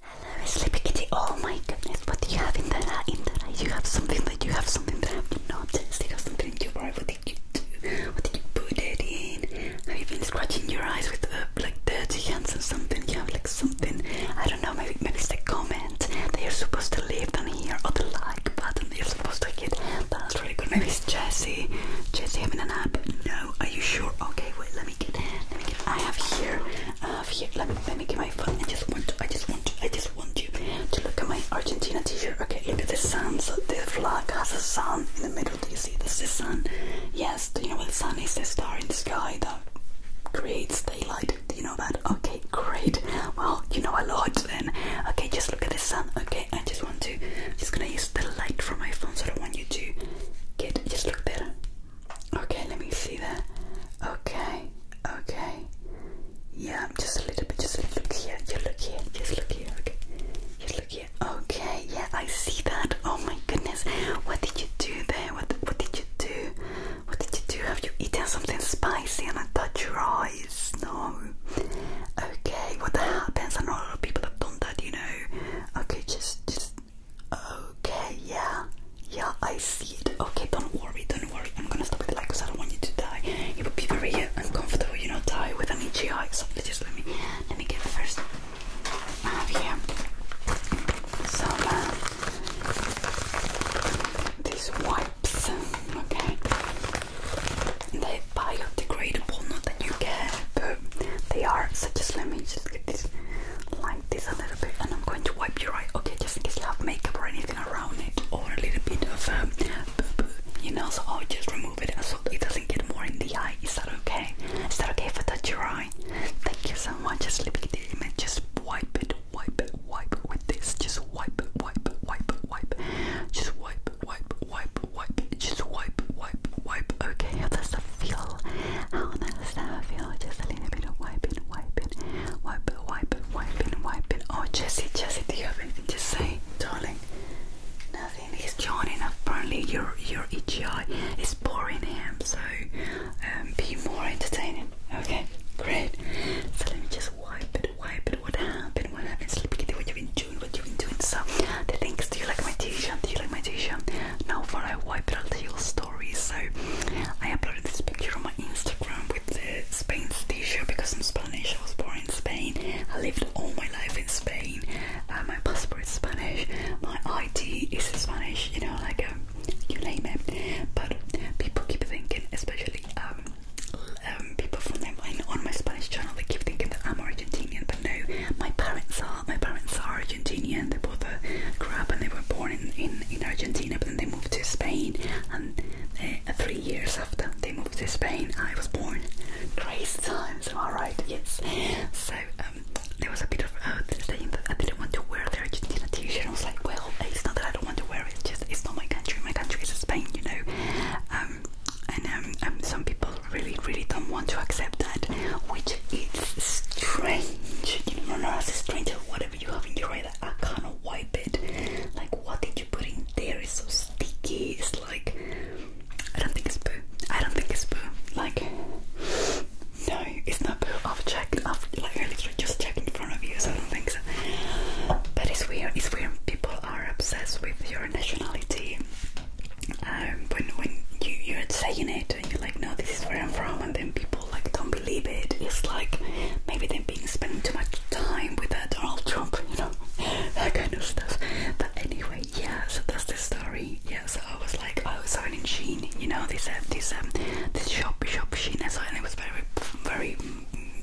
Hello, Sleepy Kitty. Oh my goodness, what do you have in that? Uh, in that, you have something that you have something that I've noticed. You have something in your eye. What did you do? What did you put it in? Have you been scratching your eyes with uh, like dirty hands or something? You have like something. I don't know. Maybe maybe it's the comment. They are supposed to leave down here or the like button. You're supposed to hit. That's really good. Maybe it's Jesse. Jesse having a nap. No, are you sure? Okay, wait. Let me get. Let me get. I have here. I have here. Let me. Let me get my phone. I just want. To, I just want. To, I just want you to look at my Argentina T-shirt. Okay, look at the sun. So the flag has a sun in the middle. Do you see? This is the sun. Yes. Do you know what the sun is? The star in the sky that creates daylight. Do you know that? Okay, great. Well, you know a lot then. Okay, just look at the sun. Okay. I just want to. I'm just gonna use the light from my phone, so I don't want you to get. Just look there. Okay, let me see that. Okay, okay. Yeah, just a little bit. Just look here. Just look here. Just look here. Okay. Just look here. Okay. Yeah, I see that. Oh my goodness. What did you do there? What What did you do? What did you do? Have you eaten something spicy and I thought you're eye? no okay what happens I know a lot of people have done that you know okay just just okay yeah yeah I see it okay don't worry don't worry I'm gonna stop it like because I don't want you to die it would be very uncomfortable you know die with an itchy eye so just let me let me get the first I have here some uh, these wipes okay they're biodegradable, not that you care, but they are. So just let me just get this like this a little bit, and I'm going to wipe your eye. Okay, just in case you have makeup or anything around it, or a little bit of um, you know. So I'll just remove it so it doesn't get more in the eye. Is that okay? Is that okay for I touch your eye? Thank you so much. Just let it in the Just wipe it, wipe it, wipe with this. Just wipe it, wipe wipe it, wipe. Just wipe, wipe, wipe, wipe, just wipe, wipe, wipe. Okay, how does that feel? How does that feel? Just a little bit of wiping, wiping, wiping, wiping, wiping, wiping. Oh, Jesse, Jesse, do you have anything to say, darling? Nothing. He's yawning. Apparently, your your itchy eye is boring him. So, um, be more entertaining. Okay, great. So let me just just wipe it, wipe it. What happened? What happened? Sleepy Kitty, what you been doing? What you been doing? So the thing is, do you like my t-shirt? Do you like my t-shirt? Now for I wipe it, I'll tell you a story. So I uploaded this picture on my Instagram with the Spanish t-shirt because I'm Spanish. I was born in Spain. I lived all my life in Spain. Uh, my passport is Spanish. My ID is Spanish. You know, like um, you name it. But people keep thinking, especially um, um, people from my, on my Spanish channel they keep thinking that I'm Argentinian, but no, my parents are. My parents are Argentinian. They both uh, grew up and they were born in, in, Argentina, but then they moved to Spain. And uh, three years after they moved to Spain, I was born. Crazy times, am I right? Yes. So um, there was a bit of uh, saying I didn't want to wear the Argentina T-shirt. I was like, well, it's not that I don't want to wear it's just it's not my country. My country is Spain, you know. Um, and um, um, some people really, really don't want to accept that, which is strange. You know, no, as a stranger, whatever you have in your eye, I cannot wipe it. Like, what did you put in there? It's so sticky. It's like I don't think it's poo. I don't think it's poo. Like, no, it's not poo. I've checked. I've like I literally just checked front of you, so I don't think so. But it's weird. It's weird. People are obsessed with your nationality. Um, when when you you're saying it and you're like, no, this is where I'm from, and then people like don't believe it. It's like maybe they've been spending too much time with that uh, Donald Trump, you know, that kind of stuff. But anyway, yeah. So that's the story. Yeah. So I was like, I was selling in Sheen, you know, this empty, uh, this um this shop shop Sheen, so and it was very very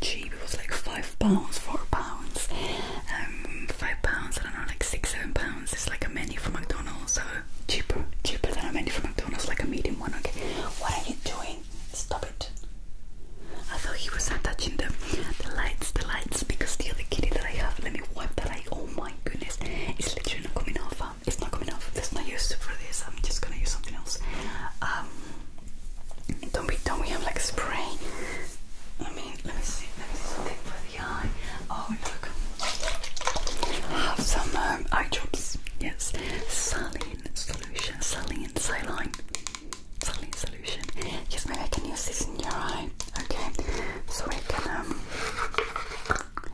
cheap. It was like five pounds, four pounds, um, five pounds. I don't know, like six, seven pounds. It's like a menu from McDonald's, so cheaper, cheaper than a menu from McDonald's, like a medium one. Okay, what are you doing? Stop it. I thought he was touching the, the lights, the lights, because the other kitty that I have, let me wipe that I. Oh my goodness, it's literally not coming off. Um, it's not coming off. That's not used for this. I'm just gonna use something else. Um, don't we don't we have like spray? I mean, let me see. Let me see something for the eye. Oh look, I have some um, eye drops. Yes, saline solution, saline, saline, saline solution. Yes, maybe I can use this in your eye. Okay, so we can um.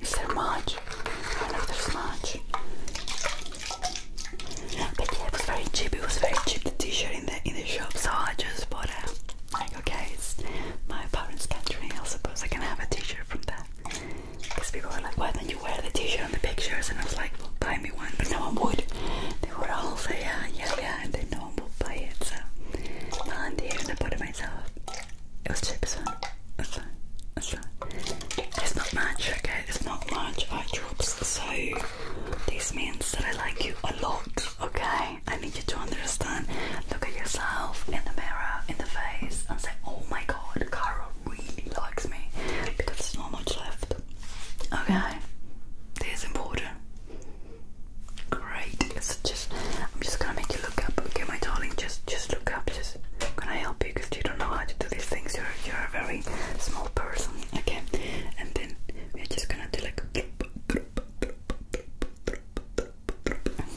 Is there much? I know there's much it was very cheap. It was very cheap the t-shirt in the in the shop, so I just bought it. Like, okay, it's my parents' country. I suppose I can have a t-shirt from that. Because people are like, why don't you wear the t-shirt on the pictures? And I was like, buy me one, but no one would. They were all say, yeah, yeah, yeah, and then no one would buy it. So volunteered and I bought it myself. It was cheap, so that's fine. That's fine. It's not much, okay there's not much eye drops, so this means that I like you a lot, okay? I need you to understand. Look at yourself in the mirror, in the face, and say, oh my god, Carol really likes me because there's not much left, okay? This is important. Great. It's just, I'm just gonna make you look up, okay, my darling? Just, just look up. Just, can I help because you don't know how to do these things. You're you're a very small person. Okay, and then we're just gonna do like.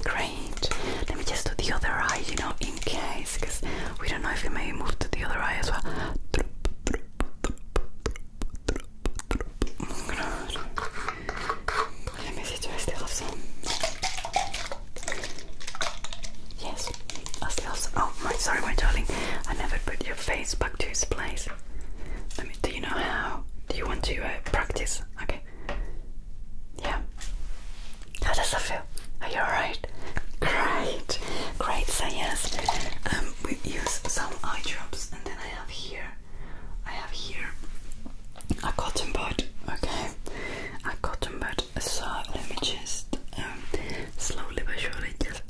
Great. Let me just do the other eye, you know, in case, because we don't know if we may move to the other eye as well. Let me see, do I still have Yes. Oh, my sorry, my darling. I never put your face back to its place. Let me. Do you know how? Do you want to uh, practice? Okay. Yeah. How does that feel? Are you alright? Great. Great. So yes, um, we use some eye drops, and then I have here. I have here a cotton bud. Okay. A cotton bud. So let me just um, slowly but surely just.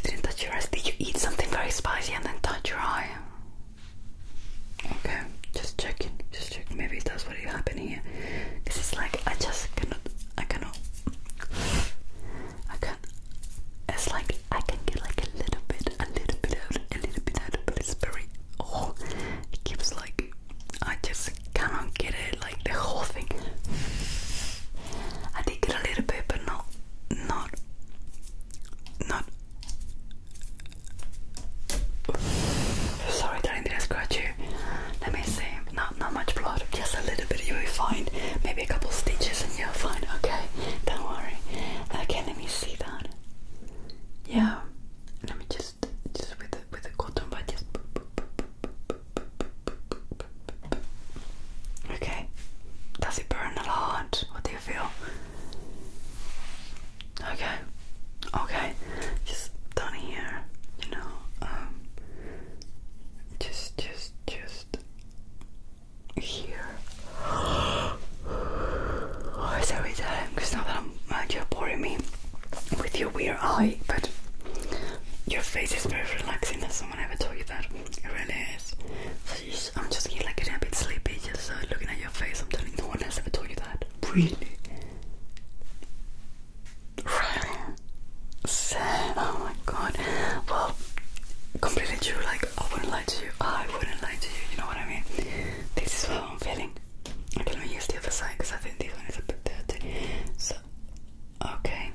did you touch your eyes? Did you eat something very spicy and then touch your eye? Okay, just checking, just checking. Maybe that's what is happening here. Cause it's like I just cannot, I cannot, I can it's like I can get like a little bit, a little bit out, a little bit out, but it's very oh it keeps like I just cannot get it like the whole thing. I did get a little bit but not not not Sorry that I didn't scratch you. Let me see. Not not much blood, just a little little bit, you'll be fine. Maybe a couple stitches and you're fine, okay? Don't worry. Okay, let me see that. Yeah. Let me just just with the with the cotton bud just Okay. Does it burn a lot? What do you feel? Okay. Okay. Just down here, you know, just just just here. Oh, sorry, darling, because uh, now that I'm, uh, you're boring me with your weird eye, but your face is very relaxing. Has someone ever told you that? It really is. I'm just getting like getting a bit sleepy just uh, looking at your face. I'm telling no one has ever told you that. Really? Really? Oh my god. Well, completely true. Like, I wouldn't lie to you. I wouldn't lie to you. You know what I mean? This is how I'm feeling. I can only use the other side because I think this one is a bit dirty. So, okay.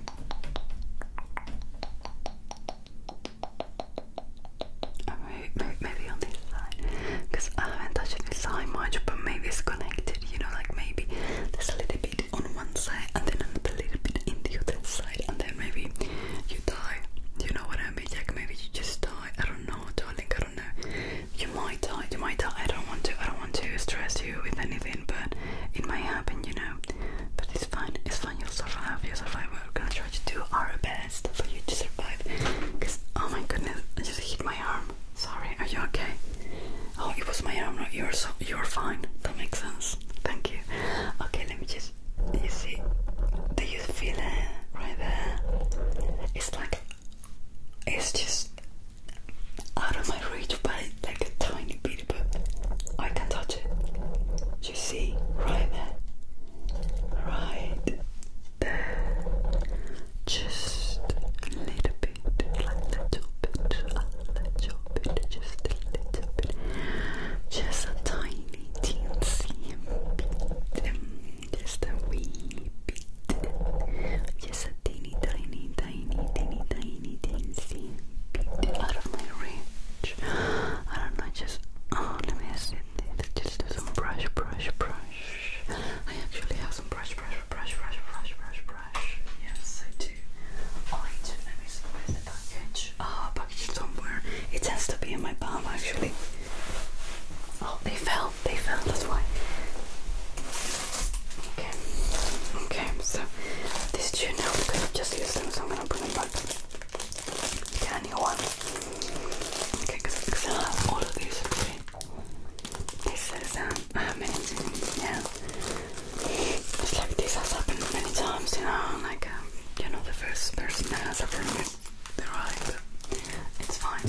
Maybe, maybe, maybe on this side because I haven't touched this side much, but maybe it's connected. You know, like maybe there's a little bit on one side and then another little bit in the other side, and then maybe you die. You know what I mean? Like maybe you just die. I don't know, I think I don't know. You might die. You might die. I don't want to. I don't want to stress you with anything, but it might happen. You know. But it's fine. It's fine. You'll survive. You'll survive. We're gonna try to do our best for you to survive. Cause oh my goodness, I just hit my arm. Sorry. Are you okay? Oh, it was my arm, not yours. So you're fine. That makes sense. Thank you. Okay, let me just. You see? Do you feel it right there? It's like it's just out of my reach, but it's like a tiny bit. But I can touch it. You see? Right there. Right there. Just a little bit bit, a little bit, a little bit, just a little bit, just a tiny teensy bit, just a wee bit, just a teeny tiny, tiny, teeny tiny teensy bit out of my reach. I don't know, just oh, let me see. Just do some brush, brush, brush. I actually have some brush, brush, brush, brush, brush, brush, brush. Yes, I do. I do. Let me see where's the package. Ah, package somewhere. It has to be in my palm, actually. Oh, they fell. They fell. That's why. Okay. Okay. So this two now just used them, so I'm gonna put them back. Get a new one. Okay, because I have all of these. Okay. This is um, Yeah. It's like this has happened many times, you know, like, um, you know, the first person that has ever removed their eye, but it's fine,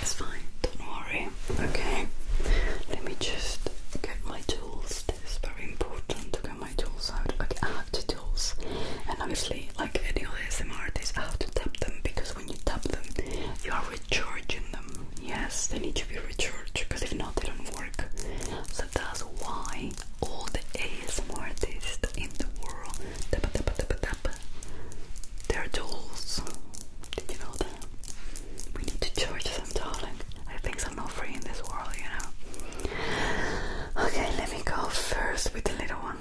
it's fine, don't worry, okay? Let me just get my tools, this is very important to get my tools out, okay, I have the tools, and obviously, like any other SMR artist, I have to tap them, because when you tap them, you are recharging them. Yes, they need to be recharged because if not, they don't work. So that's why all the ASMR artists in the world tap tap tap tap their tools. Did you know that? We need to charge them, darling. I think I'm not free in this world, you know. Okay, let me go first with the little one.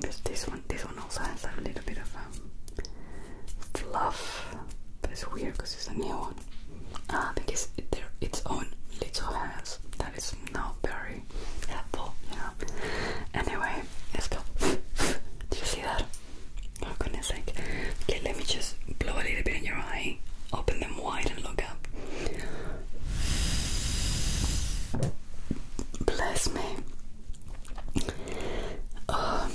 This, this one, this one also has a little bit of um, fluff. That's weird because it's a new one. Ah, because they're its own little hands. That is not very helpful, you Anyway, let's go. Do you see that? Oh goodness sake. Okay, let me just blow a little bit in your eye. Open them wide and look up. Bless me. Um,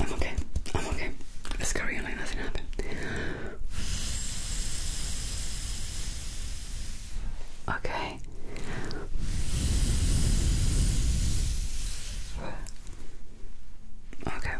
I'm okay. I'm okay. Let's carry on like nothing happened. Okay. Okay.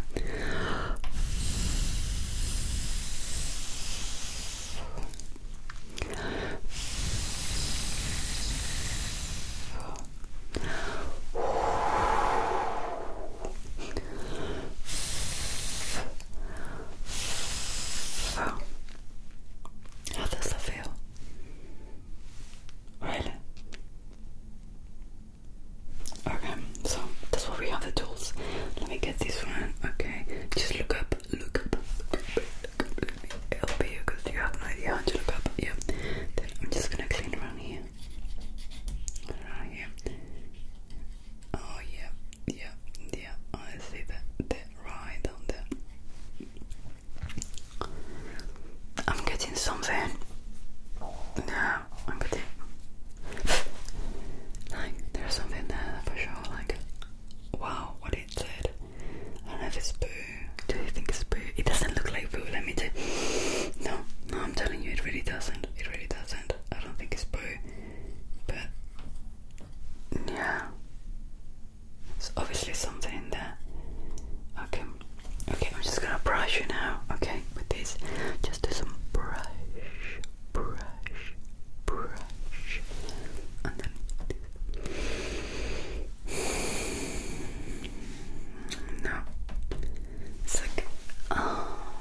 How does that feel? Really? Okay, so that's what we have the tools. Let me get this one. Okay, just look up, look up, that completely help you because you have no idea how to look up. Then I'm just gonna clean around here. Around here. Oh yeah, yeah, yeah. Oh, I see that that right on there. I'm getting something. Yeah, I'm getting like there's something there for sure. Like, wow, what is outside. I don't know Do you think it's poo? It doesn't look like poo, let me tell No, no, I'm telling you, it really doesn't. It really doesn't. I don't think it's poo. But, yeah. There's obviously something in there. Okay, okay, I'm just gonna brush you now, okay, with this. Just do some brush, brush, brush, and then. No. It's like, oh.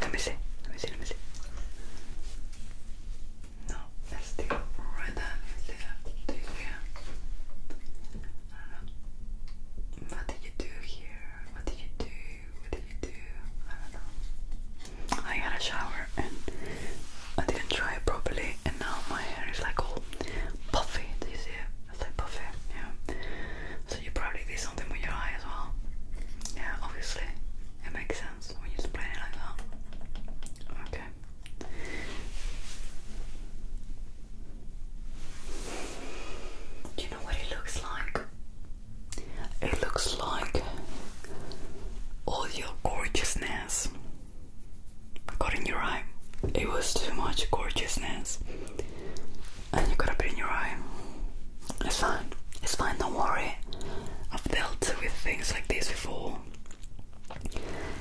Let me see. Let me see. Let me see. No, let's do right there. do that. Do here. I don't know. What did you do here? What did you do? What did you do? I don't know. I had a shower and I didn't dry it properly, and now my hair is like all puffy. Do you see it? It's like puffy, yeah. So you probably did something with your eye as well. Yeah, obviously, it makes sense when you explain it like that. Okay. Do you know what it looks like? It looks like all your gorgeousness got in your eye. It was too much gorgeousness, and you got up in your eye. It's fine, it's fine, don't worry. I've dealt with things like this before.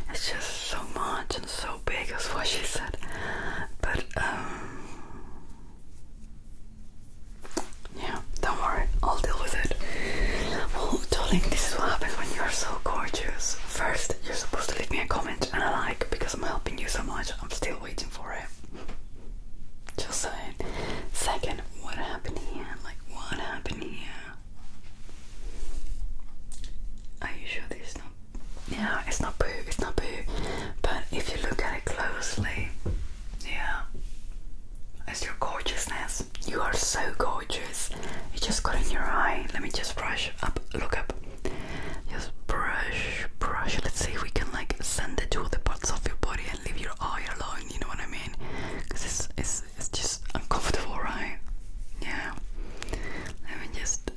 It's just so much and so big, as what she said. But, um, yeah, don't worry, I'll deal with it. Well, oh, darling, this is what happens when you're so gorgeous. First, you're supposed to leave me a comment and a like because I'm helping you so much. I'm still waiting for it. Just saying. Second, what happened here? Like, what happened here? Are you sure this is not? Yeah, it's not poo, it's not poo. But if you look at it closely, yeah. It's your gorgeousness. You are so gorgeous. It just got in your eye. Let me just brush up. Look up. Just brush, brush. Let's see if we can like send it to other parts of your body and leave your eye alone. You know what I mean? Because it's, it's, it's just uncomfortable, right? Yeah. Let me just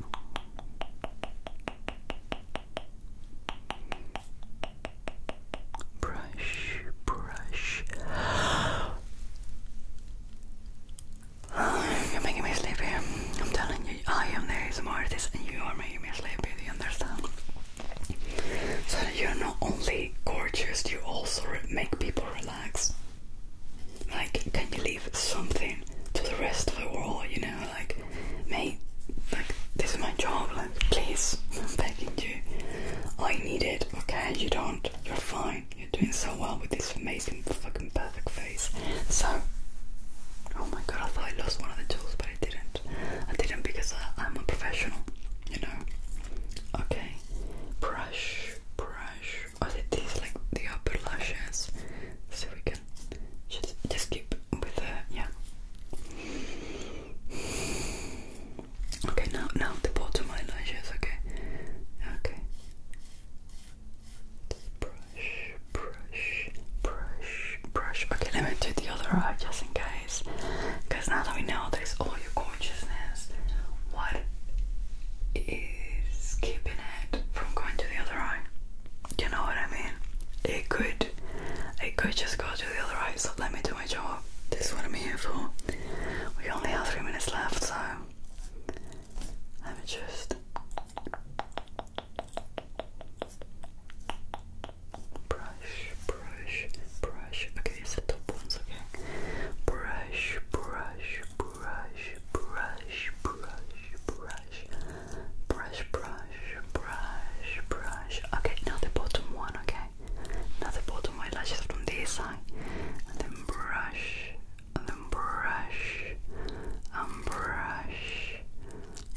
brush, brush. You're making me sleepy. I'm telling you, I am the ASMR artist and you are making me sleepy, do you understand? So that you're not only gorgeous, you also make people relax. Like, can you leave something to the rest of the world, you know? Like, mate, like, this is my job, please, i begging you. I need it, okay? You don't. You're fine. You're doing so well with this amazing, fucking perfect face. So, oh my god, I thought I lost one of the tools, but I didn't. I didn't because I, am a professional, you know? Okay, brush, brush. Oh, did these like the upper lashes, so we can just, just keep with the, yeah. Okay, now now the bottom eyelashes, okay. Okay. Brush, brush, brush, brush. Okay, let me do the other eye just in case. Because now that we know there's all your consciousness, what is keeping it from going to the other eye? Do you know what I mean? It could it could just go to do the other eye, so let me do my job. This is what I'm here for. We only have three minutes left, so let me just brush, brush, brush. Okay, it's the top ones, okay? Brush, brush, brush, brush, brush, brush, brush, brush brush, brush. Okay, now the bottom one, okay? Now the bottom eyelashes from this side. And then brush, and then brush, and brush,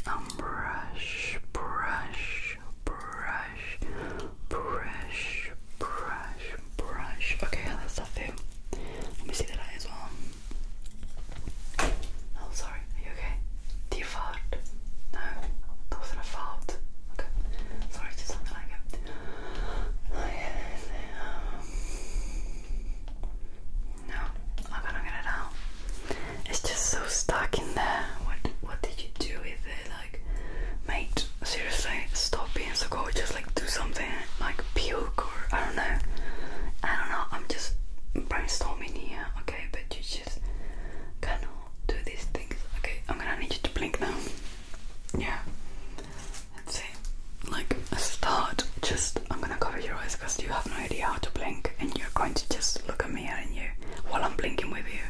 and brush, brush, brush, brush, brush, brush. Okay, that's that thing. Let me see that eye as well. I'll Sorry, are you okay? Do No, that wasn't a fart. Okay, sorry, it just something like it. Oh, no, I'm gonna get it out. It's just so stuck in there. What What did you do with it? Like, mate, seriously, stop being so Just Like, do something like puke or I don't know. I don't know. I'm just brainstorming here. Okay okay, but you just cannot do these things. Okay, I'm gonna need you to blink now. Yeah, let's see. Like start, just I'm gonna cover your eyes because you have no idea how to blink, and you're going to just look at me and you while I'm blinking with you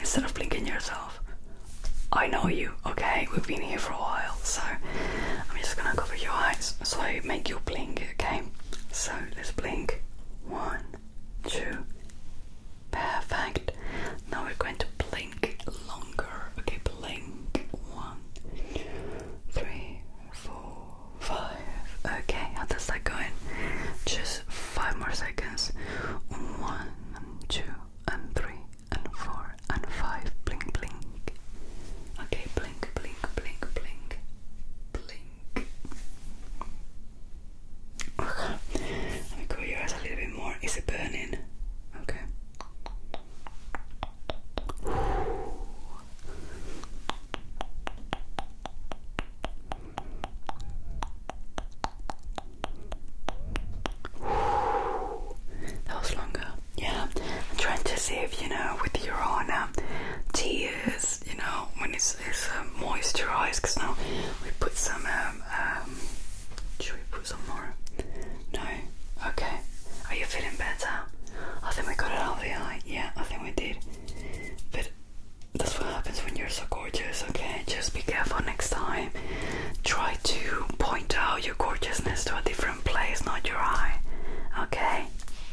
instead of blinking yourself. I know you, okay? We've been here for a while, so I'm just gonna cover your eyes so I make you blink, okay? So let's blink. One, two. Perfect. Now we're going to blink longer. Okay, blink. One, two, three, four, five. Okay, how does that going? Just five more seconds. One, and two, and three, and four, and five. Blink, blink. Okay, blink, blink, blink, blink, blink. Okay. Let me cover your eyes a little bit more. Is it burning? Okay. That was longer. Yeah. trying to see if you know with your own tears you know when it's, um, moisturized because now we put some um, um, should we put some more no okay are you feeling better i think we got it all the eye yeah i think we did but that's what happens when you're so gorgeous okay just be careful next time try to point out your gorgeousness to a different place not your eye okay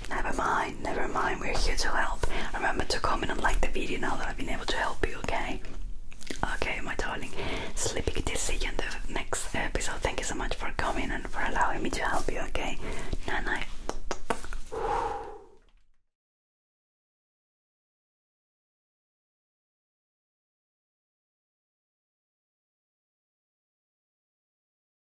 never mind never mind, we're here to help. Remember to comment and like the video now that I've been able to help you, okay? Okay, my darling, Sleeping kitty, see the next episode. Thank you so much for coming and for allowing me to help you, okay? Night